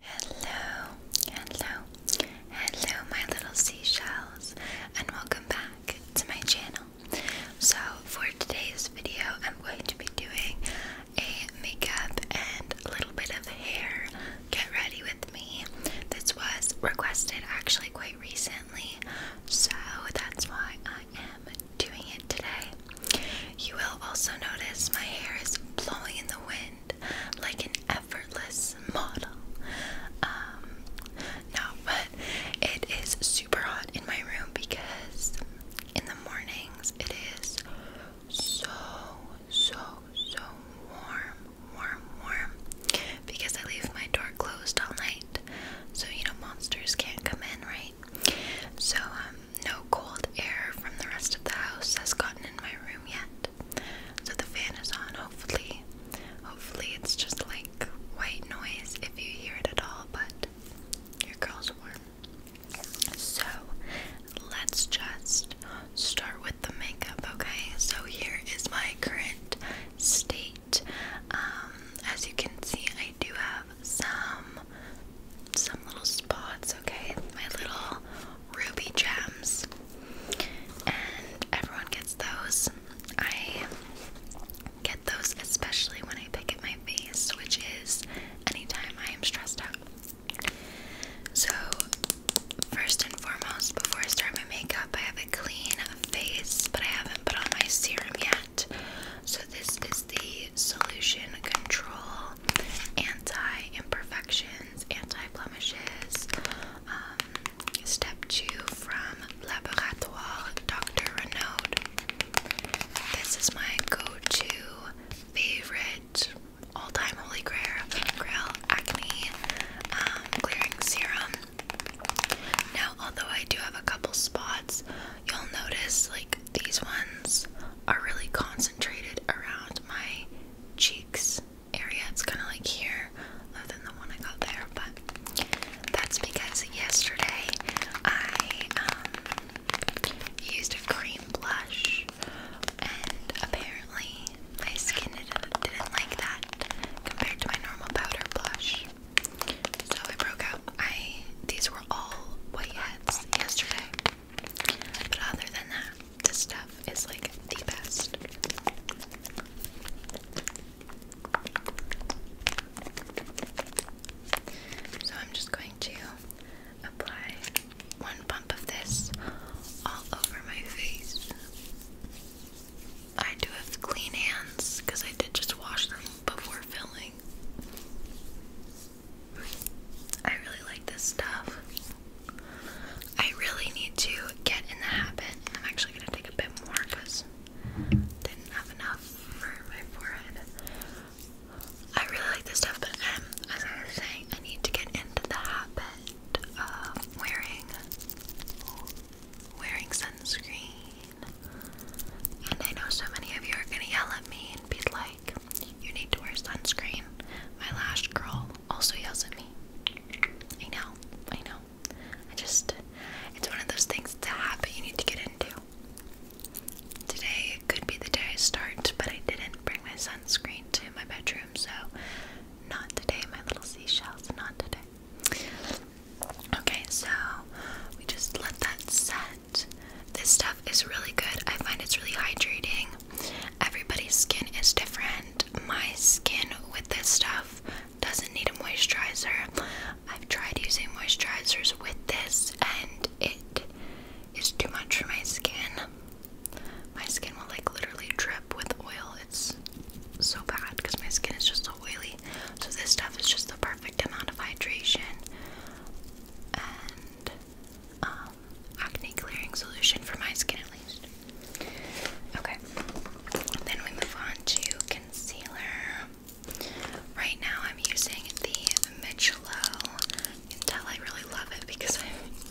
Hello, hello, hello, my little seashells, and welcome back to my channel. So, for today's video, I'm going to be doing a makeup and a little bit of hair get ready with me. This was requested actually quite recently, so that's why I am doing it today. You will also notice my hair is blowing in the wind like an effortless model. Um, no, but it is super hot in my room because in the mornings it is so, so, so warm, warm, warm because I leave my door closed all night so you know monsters can't come in, right? So, um, no cold air from the rest of the house has gotten in my room yet. So the fan is on, hopefully. Hopefully it's just like white noise if you hear it at all, but your girl's warm. So let's just start with the makeup, okay? So here is my current state. Um, as you can see, I do have some some little spots, okay? My little ruby gems, and everyone gets those. I get those especially when I pick at my face, which is anytime I am stressed out. So, first and foremost, before I start my makeup, I have a clean face, but I haven't put on my serum yet. So, this is the Solution Control Anti Imperfection Anti-Blemishes, um, Step 2 from Laboratoire Dr. Renaud. This is my go-to favorite all-time holy grail, grail acne um, clearing serum. Now, although I do have a couple spots, you'll notice like these ones are really concentrated around my cheeks area. It's kind of like here, other than the one I got there. But that's because yesterday I um, used a cream blush, and apparently my skin didn't, didn't like that compared to my normal powder blush. So I broke out. I these were all whiteheads yesterday. But other than that, this stuff is like the best. So I'm just going to apply one bump of this all over my face. I do have clean hands because I did just wash them before filming. I really like this stuff. I really need to get in the habit. I'm actually going to take a bit more because didn't have enough for my forehead. I really like this stuff, but um, as I was saying, I need to get into the habit of wearing wearing sunscreen. And I know so many of you are gonna yell at me and be like, "You need to wear sunscreen." My lash girl." also yells at me. I know, I know. I just, it's one of those things, it's a habit you need to get into. Today it could be the day I start, but I didn't bring my sunscreen to my bedroom, so not today, my little seashells, not today. Okay, so we just let that set. This stuff is really good. I find it's really hydrating. Everybody's skin is different. My skin with this stuff doesn't need a moisturizer. I've tried using moisturizers with this and it is too much for my skin. My skin will like literally drip with oil. It's so bad because my skin is just so oily. So this stuff is just the perfect amount of hydration. Um, acne clearing solution for my skin at least. Okay, then we move on to concealer. Right now, I'm using the Michelob. You can tell I really love it because I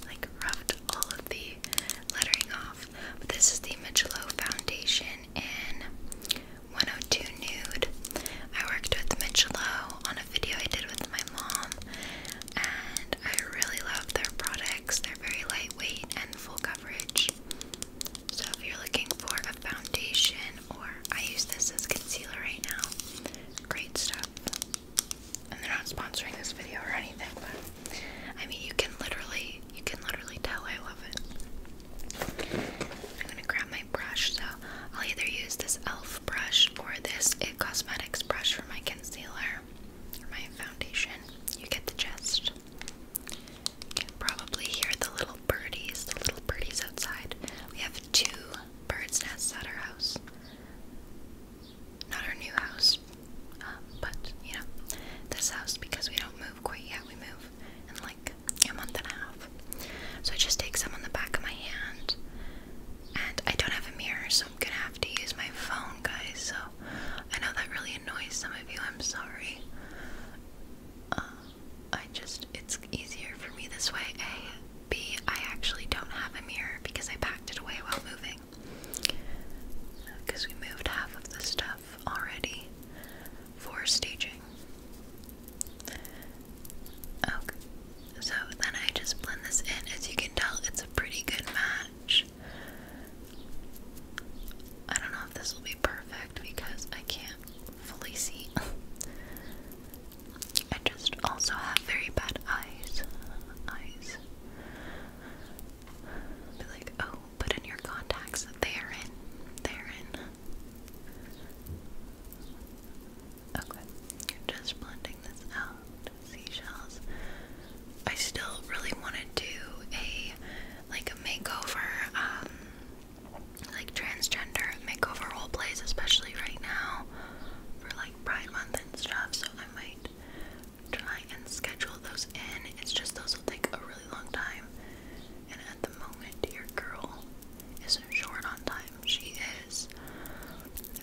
like rubbed all of the lettering off. But this is the Michelob foundation in 102 Nude. I worked with Michelob on a video I did with my mom and I really love their products. They're very lightweight and full coverage. So if you're looking for a foundation or I use this as concealer right now, great stuff. And they're not sponsoring this video or anything, but I mean you can literally you can literally tell I love it. I'm gonna grab my brush, so I'll either use this e.l.f. brush or this It eh, Cosmetics brush for my concealer my foundation, you get the gist. You can probably hear the little birdies, the little birdies outside. We have two birds' nests at our house. Not our new house, um, but you know, this house because we don't move quite yet. We move in like a month and a half. So I just take some on the back of my hand and I don't have a mirror, so I'm gonna have to use my phone, guys. So I know that really annoys some of you. I'm sorry. Uh, I just, it's easier for me this way. A, B, I actually don't have a mirror because I packed it away while moving. Because we moved half of the stuff already for staging. Okay, so then I just blend this in. As you can tell, it's a pretty good match. I don't know if this will be perfect because I can't fully see. I just also have very bad eyes. Eyes. Be like, oh, put in your contacts. They're in. They're Just blend I still really want to do a like a makeover, um, like transgender makeover role plays, especially right now for like Pride Month and stuff. So I might try and schedule those in. It's just those will take a really long time. And at the moment, your girl isn't short on time. She is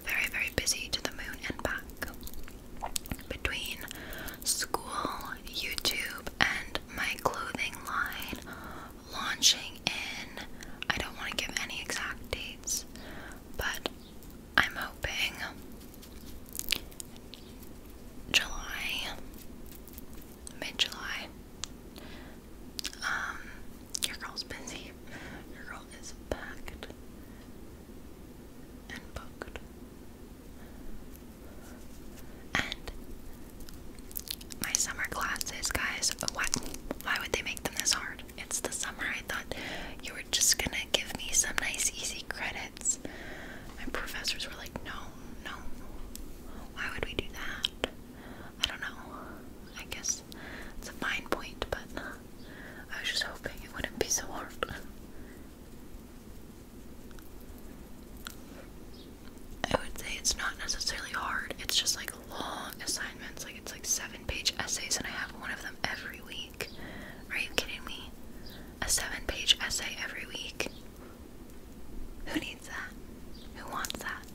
very, very busy to the moon and back. Between school, YouTube, and my clothing line launching in, I don't want to give any exact dates, but I'm hoping July, mid July. Um, your girl's busy. Your girl is packed and booked. And my summer classes, guys, why, why would they make them this hard? It's the summer. I thought you were just gonna give me some nice, easy credits. My professors were like, no, no. Why would we do that? I don't know. I guess it's a fine point, but I was just hoping it wouldn't be so hard. I would say it's not necessarily hard, it's just like long assignments. Like, it's like seven page essays, and I have one of them every week. Are you kidding me? A seven page essay every week? Who needs that? Who wants that?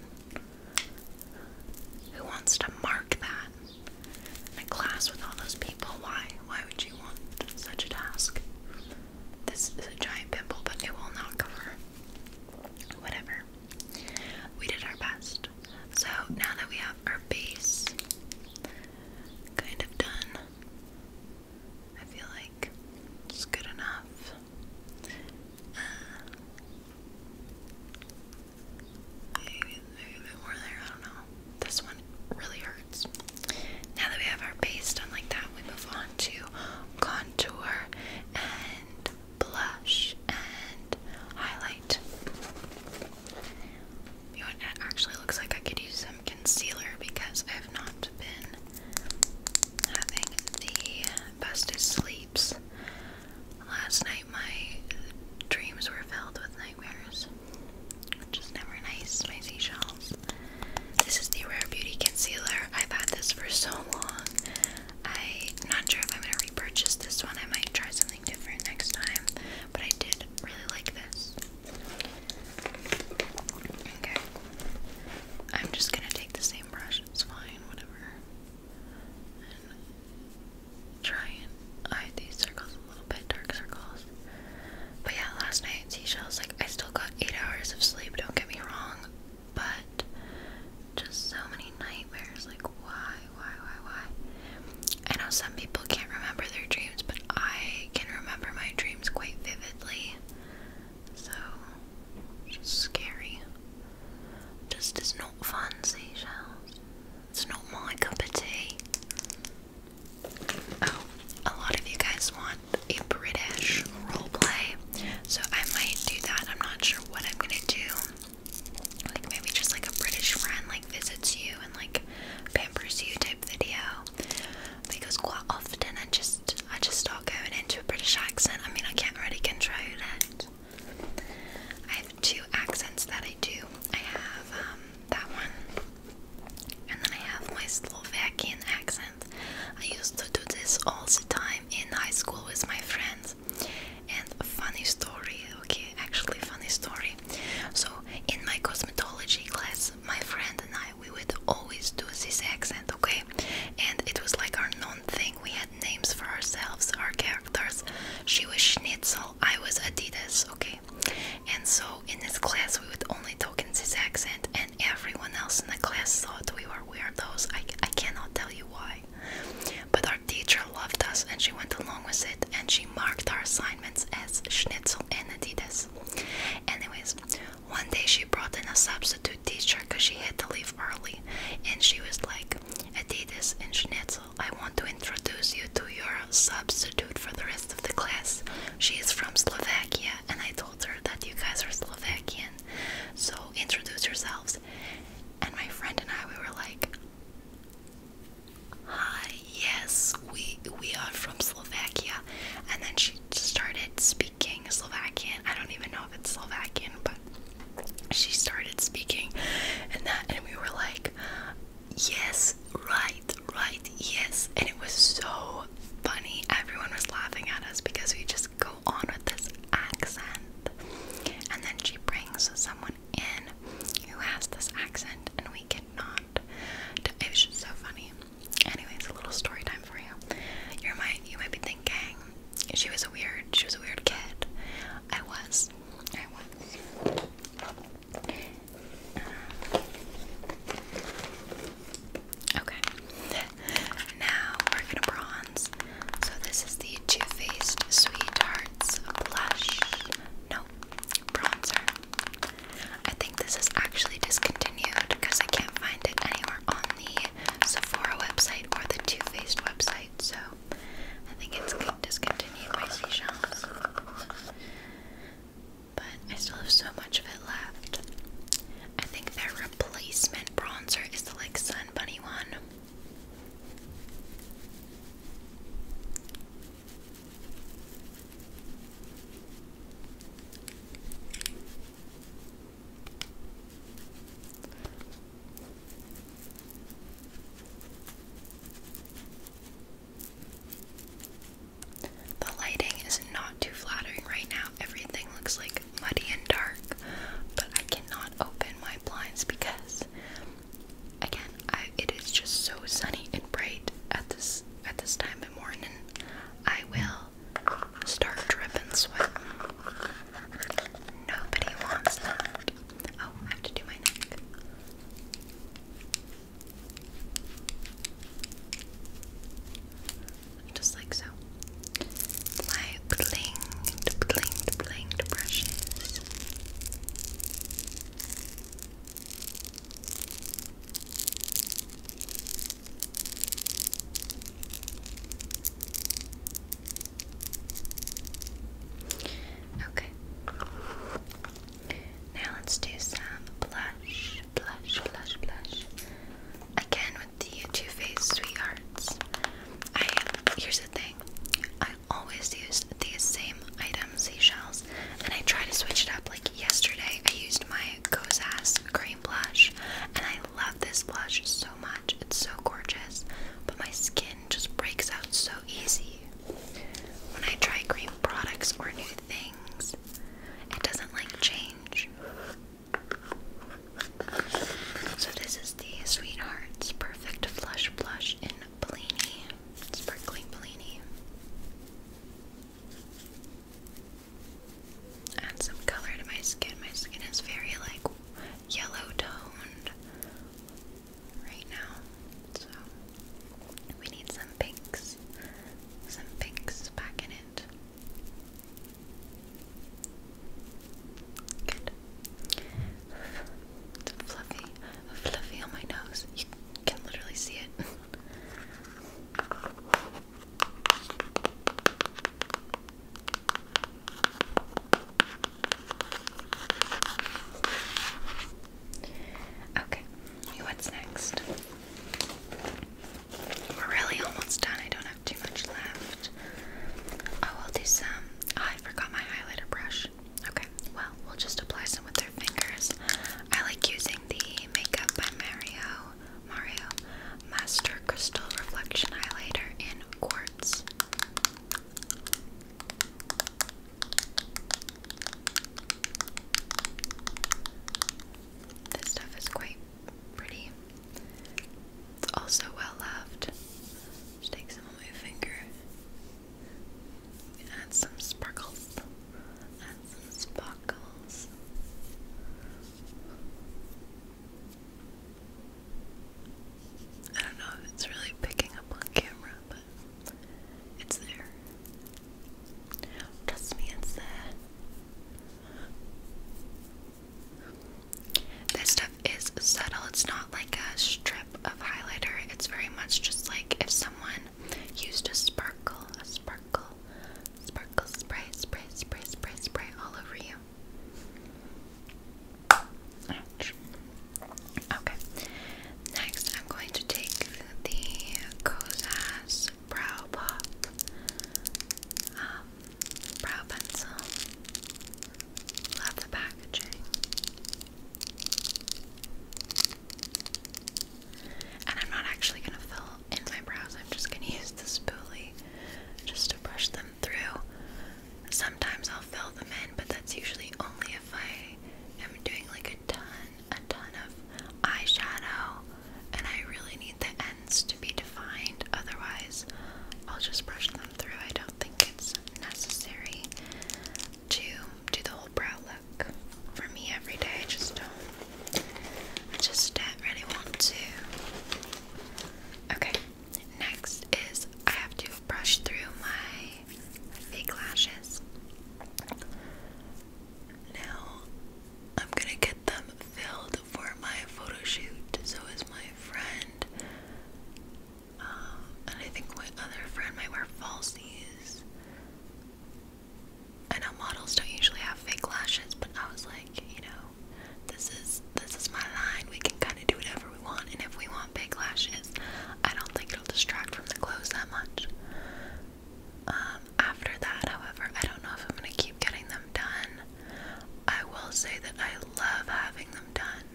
Who wants to mark that? in a class with all those people. Why? Why would you want such a task? This is a giant pimple, but it will not cover. Whatever. We did our best. So now that we have our base kind of done, I feel like it's good enough. Uh, maybe a bit more there, I don't know this one really hurts. Now that we have our base done like that, we move on to contour and blush and highlight. You know what? actually looks like I could use some concealer because I have not been having the bestest sleeps. Last night, my dreams were filled with nightmares which never nice. My seashells. This is the Rare Beauty Concealer. I've had this for so long. I'm not sure if I'm gonna repurchase this one. I might try something different next time. But I did really like this. Okay. I'm just gonna take the same brush. It's fine. Whatever try and hide these circles a little bit, dark circles. But yeah, last night seashells, like I still got eight hours of sleep, don't get me wrong, but just so many nightmares, like why, why, why, why? I know some people can't remember their dreams, but I can remember my dreams quite vividly. So just scary. Just is not fun seashells. It's not my cup of tea. Oh, a lot of you guys want a British role play, so I might do that. I'm not sure what I'm gonna do. Like maybe just like a British friend like visits you and like pampers you type video. Because quite often I just I just start going into a British accent. I mean I can't really control it. I have two accents that I do. I have um that one and then I have my Slovakian accent. I used to do this all the time in high school with my friends. And funny story, okay, actually funny story. So in my cosmetology class, my friend and I, we would always do this accent, okay? And it was like our known thing. We had names for ourselves, our characters. She was Schnitzel, I was Adidas, okay? And so in this class, we would only talk in this accent, and everyone else in the class thought we were weirdos. I, I cannot tell you why. But our teacher loved us, and she went along with it, and she marked our assignments as schnitzel and adidas. Anyways, one day she brought in a substitute teacher because she had to leave early, and she was like, Adidas and schnitzel, I want to introduce you to your substitute for the rest of the class. She is from Slovakia, and I told her that you guys are Slovakian, so introduce yourselves. And my friend and I, we were like, "Hi, yes, we we are from Slovakia." And then she started speaking Slovakian. I don't even know if it's Slovakian, but she started speaking, and then and we were like, "Yes, right, right, yes. And it was so funny. Everyone was laughing at us because we just go on with this accent. And then she brings someone in who has this accent, and we cannot. It was just so funny. Anyways, a little story time for you. You might, you might be thinking she was a weird, she was a weird kid. I was, I was. Okay. now we're gonna bronze. So this is the Too Faced Sweethearts blush. No, bronzer. I think this is actually discontinued because I can't find it anywhere on the Sephora website or the Too Faced website. So I think it's discontinued by Seashells but I still have so much of it left. I think their replacement bronzer is the like Sun Bunny one. The lighting is not too flattering right now. Everything looks like muddy and dark, but I cannot open my blinds because again, it is just so sunny and bright at this at this time of morning. I will start dripping sweat. Nobody wants that. Oh, I have to do my neck. Just like so. My blinged, blinged, blinged brushes. Okay. Now let's do some blush, blush, blush, blush. Again with the Too Faced Sweethearts. I here's the thing. I always use the same item seashells, and I try to switch it up. Like yesterday, I used my Kozas cream blush, and I love this blush so much. It's so gorgeous, but my skin just breaks out so easy. When I try cream products or new things. It doesn't like change. So this is the Sweethearts Perfect Flush Blush in Bellini, Sparkling Bellini. Add some color to my skin. My skin is very like yellow toned right now. So we need some pinks. Some pinks back in it. Good. fluffy. Fluffy on my nose. You can literally see it. Okay, what's next? We're really almost done. I don't have too much left. Oh, we'll do some. Oh, I forgot my highlighter brush. Okay, well, we'll just apply some with our fingers. I like using the Makeup by Mario Mario Master Crystal Reflection Highlighter in Quartz. This stuff is quite pretty. It's also well loved. take some of my finger. Add some sparkles. Add some sparkles. I don't know if it's really picking up on camera, but it's there. Trust me, it's there. This stuff is subtle. It's not like a strip of highlighter. It's very much just like if someone used a sparkle, a sparkle, sparkle spray, spray, spray, spray, spray all over you. Okay. Next, I'm going to take the Kozas brow pop, um, brow pencil. Love the packaging. And I'm not actually gonna fill in my brows, I'm just gonna use the spoolie just to brush them through. Sometimes I'll fill them in, but that's usually only if I am doing like a ton a ton of eyeshadow, and I really need the ends to be defined, otherwise, I'll just brush them through. I don't think it's necessary to do the whole brow look for me every day. I just don't, I just don't really want to. Okay, next is I have to brush through my fake lashes. Now I'm gonna get them filled for my photo shoot. So is my friend, um, and I think my other friend might wear falsies. I know models don't usually have fake lashes, but I was like, you know, this is this is my line. We can kind of do whatever we want, and if we want big lashes, I don't think it'll distract from the clothes that much. Um, after that, however, I don't know if I'm gonna keep getting them done. I will say that I love having them done.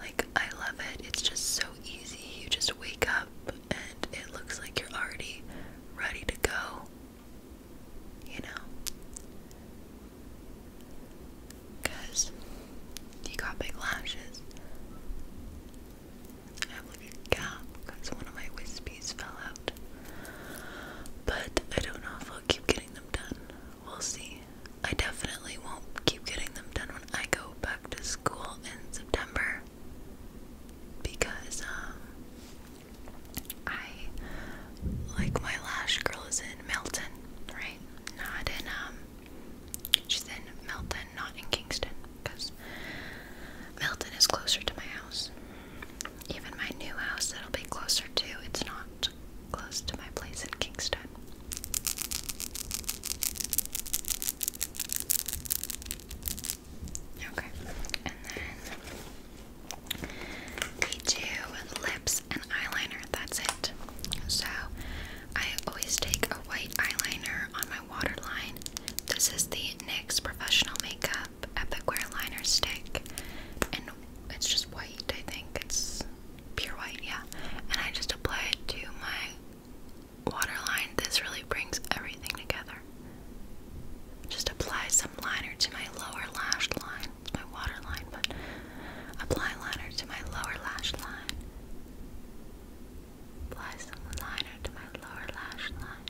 Like, I love it. It's just so easy. You just wake up and it looks like you're already ready to go. You know? Because you got big lashes. I have like a gap because one of my wispies fell out. But I don't know if I'll keep getting them done. We'll see. I definitely won't keep getting them done when I go back to school in September because um, I like my lash girl is in Milton, right? Not in um she's in Milton not in Kingston because Milton is closer to my house. Even my new house that'll be closer to, it's not close to my place in Kingston. Okay, and then we do lips and eyeliner, that's it. So I always take a white eyeliner on my waterline. This is the NYX Professional Makeup Epic Wear Liner Stick. And it's just white, I think. It's pure white, yeah. And I just apply it to my waterline. This really brings everything together. Just apply some liner to my lower lash line. It's my waterline, but apply liner to my lower lash line. Apply some liner to my lower lash line.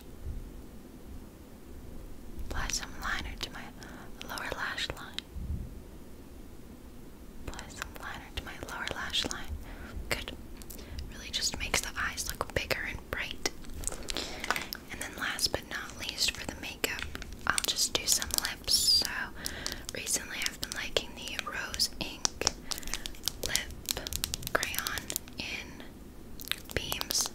Apply some liner to my lower lash line. Apply some liner to my lower lash line. Good. Really just makes the eyes look bigger and bright. And then last but not least for the makeup, I'll just do some lips. So recently I've been liking the Rose Ink Lip Crayon in beams.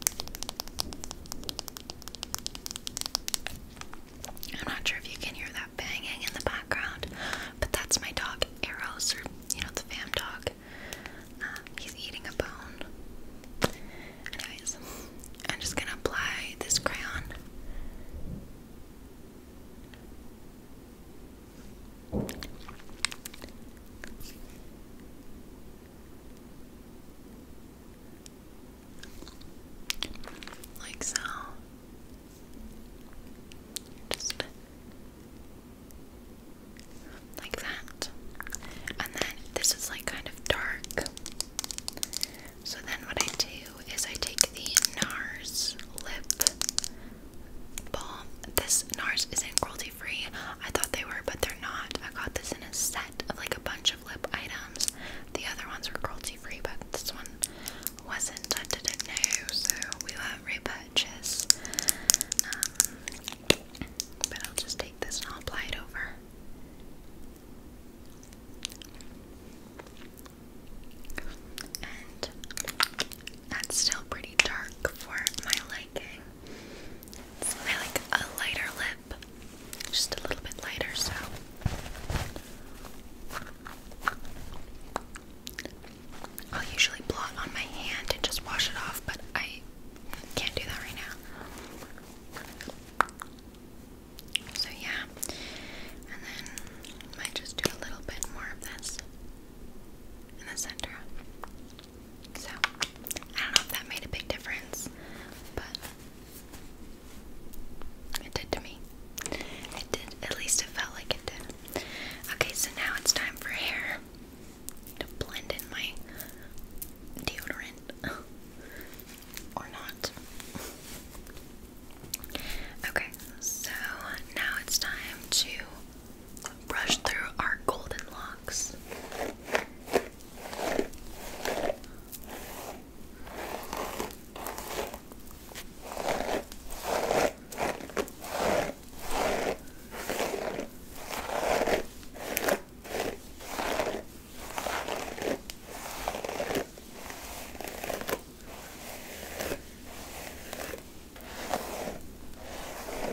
I'm not sure if you can hear that banging in the background, but that's my dog Arrows, or you know, the fam dog. Um, he's eating a bone. I'm just gonna apply this crayon. Like so. Just like that. And then this is like kind of dark. So then what I do is I take the NARS lip balm. This NARS is in Girl free. I thought they were, but they're not. I got this in a set of like a bunch of lip items. The other ones were cruelty free, but this one wasn't. I didn't know, so we won't repurchase. Um, but I'll just take this and apply it over. And that's still pretty dark for my liking. It's like a lighter lip, just a little bit lighter, so. I'll usually blot on my hand and just wash it off, but I can't do that right now. So, yeah, and then I just do a little bit more of this in the center. So, I don't know if that made a big difference, but it did to me. It did, at least it felt like it did. Okay, so now it's time for hair to blend in my deodorant. or not. Okay, so now it's time to brush through our golden locks.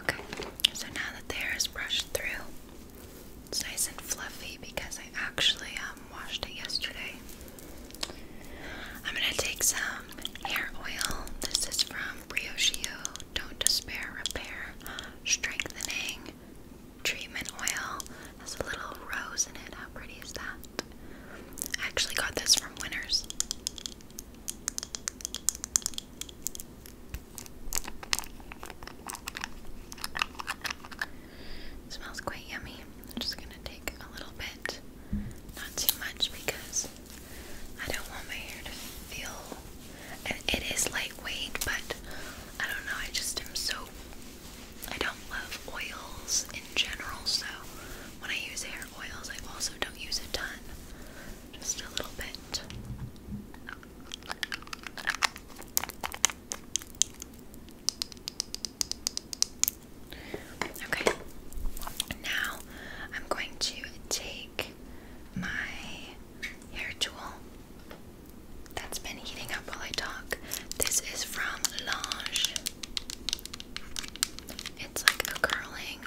Okay, so now that the hair is brushed through, it's nice and fluffy because I actually um, washed it yesterday. I'm gonna take some hair oil. This is from Briocheo Don't Despair Repair Strengthening Treatment Oil. has a little rose in it. How pretty is that? I actually got this from Winners smells quite yummy. I'm just gonna take a little bit, not too much, because I don't want my hair to feel. it is lightweight, but I don't know. I just am so. I don't love oils in general, so when I use hair oils, I also don't use a ton. Just a little bit. Okay, now I'm going to take my hair tool that's been heating up while I talk. This is from Lange. It's like a curling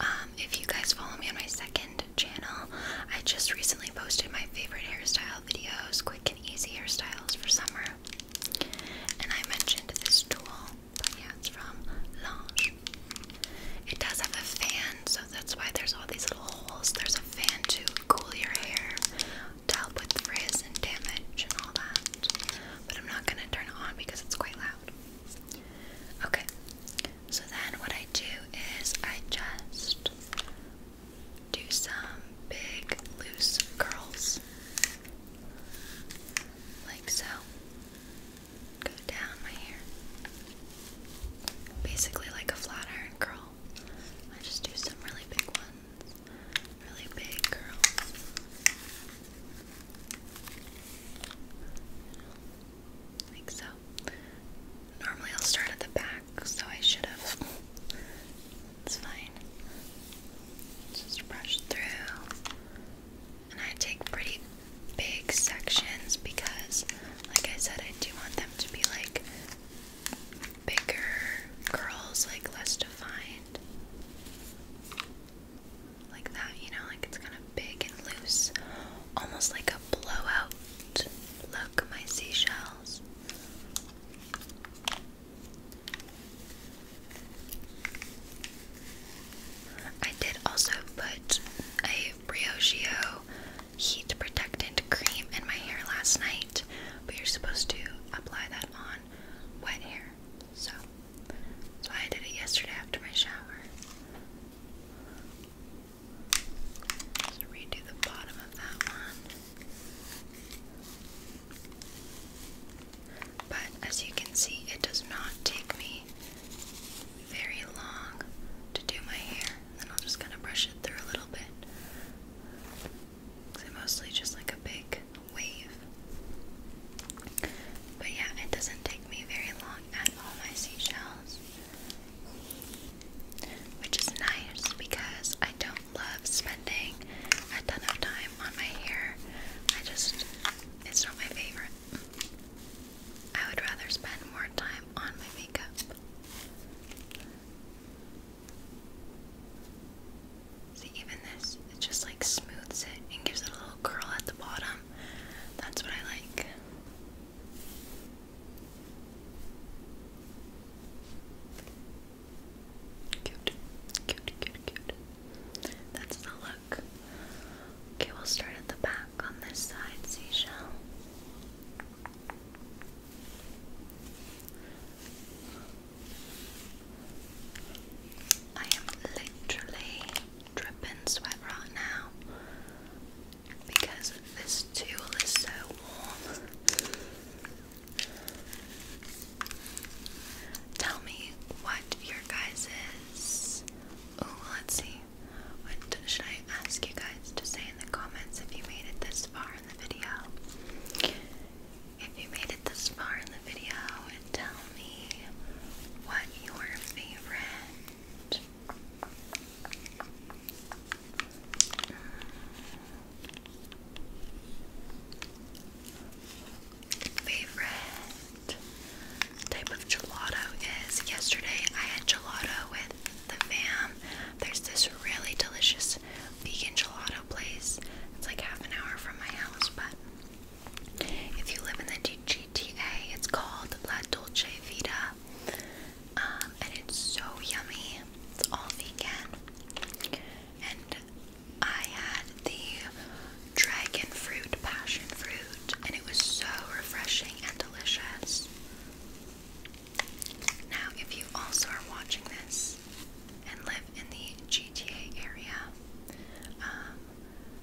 um, if you guys follow me on my second channel, I just recently posted my favorite hairstyle videos, quick and easy hairstyles for summer. And I mentioned this tool, but yeah, it's from Lange. It does have a fan, so that's why there's all these little holes. There's a fan to cool your hair, to help with frizz and damage and all that. But I'm not gonna turn it on because it's quite loud. Okay, so then what I do is I just do some big loose curls like so. Go down my hair. Basically, like a flat iron curl. I just do some really big ones, really big curls. Like so. Normally I'll start at the back, so I should have. It's fine. Just brush through. And I take pretty big sections because, like I said, I do want them to be like bigger curls, like less defined like that, you know, like it's kind of big and loose, almost like a blowout. Look, my seashells. I did also put a Briogeo heat protectant cream in my hair last night, but you're supposed to apply that on wet hair. So, that's why I did it yesterday after my shower. redo the bottom of that one. But as you can see, it does not take me very long to do my hair. And then i am just gonna brush it through a little bit. Cause I mostly just like a big wave. But yeah, it doesn't take me very long at all my seashells. Which is nice because I don't love spending a ton of time on my hair. I just, it's not my favorite. I would rather spend more time on my makeup. See, even this, it just like smooths it and gives it a little curl at the bottom that's what I like. Cute, cute, cute, cute. That's the look. Okay, we'll start at the back on this side, seashell. I am literally dripping sweat right now because this tool is so warm. Tell me what your guys's. Oh, let's see. What should I ask you guys to say in the comments if you made it this far in the video? If you made it this far in the video tell me what your favorite favorite type of gelato is. Yesterday I had gelato with the fam. There's this really delicious vegan gelato place. It's like half an hour from my house, but if you live in the GTA, it's called La Dolce Vita, um, and it's so yummy. It's all vegan, and I had the dragon fruit passion fruit, and it was so refreshing and delicious. Now, if you also are watching this and live in the GTA area, um,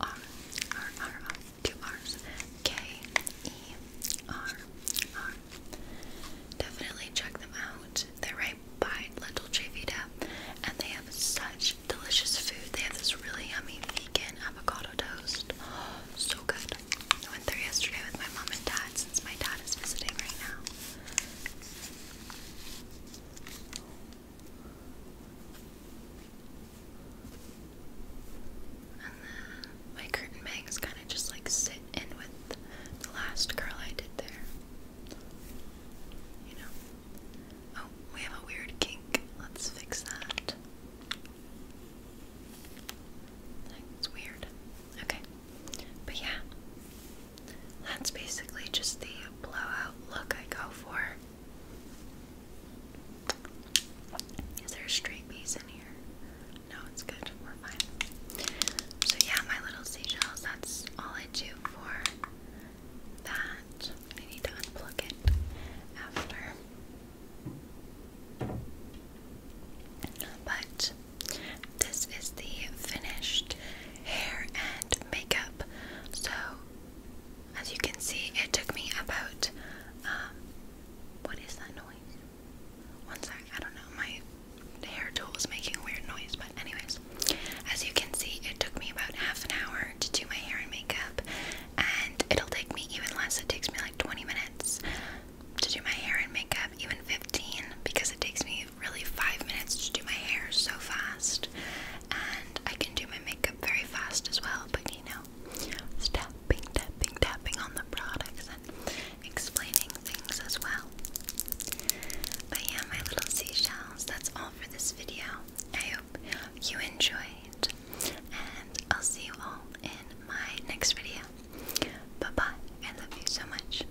R R R R two R's K E R R. Definitely check them out. They're right by Little Chivita, and they have such delicious food. They have this really yummy vegan avocado toast. so good. I went there yesterday with my mom and dad since my dad is visiting right now my curtain bangs kind of just like sit in with the last curl I did there. You know? Oh, we have a weird kink. Let's fix that. It's weird. Okay. But yeah, that's basically just the blowout look I go for. Is there a in here? No, it's good. We're fine. So yeah, my little seashells, that's all I do for that. I need to unplug it after. But this is the finished hair and makeup. So as you can see, it took me about, um, what is that noise? One sec, I don't know, my hair tool is making a weird noise, but anyways. As you can see, it took me about half an hour to do my hair and makeup, and it'll take me even less, it takes me like 20 minutes to do my hair and makeup, even 15, because it takes me really 5 minutes to do my hair so fast and I can do my makeup very fast as well, but you know, tapping, tapping, tapping on the products and explaining things as well. But yeah, my little seashells, that's all for this video. I hope you enjoyed, and I'll see you all in my next video. Bye bye, I love you so much.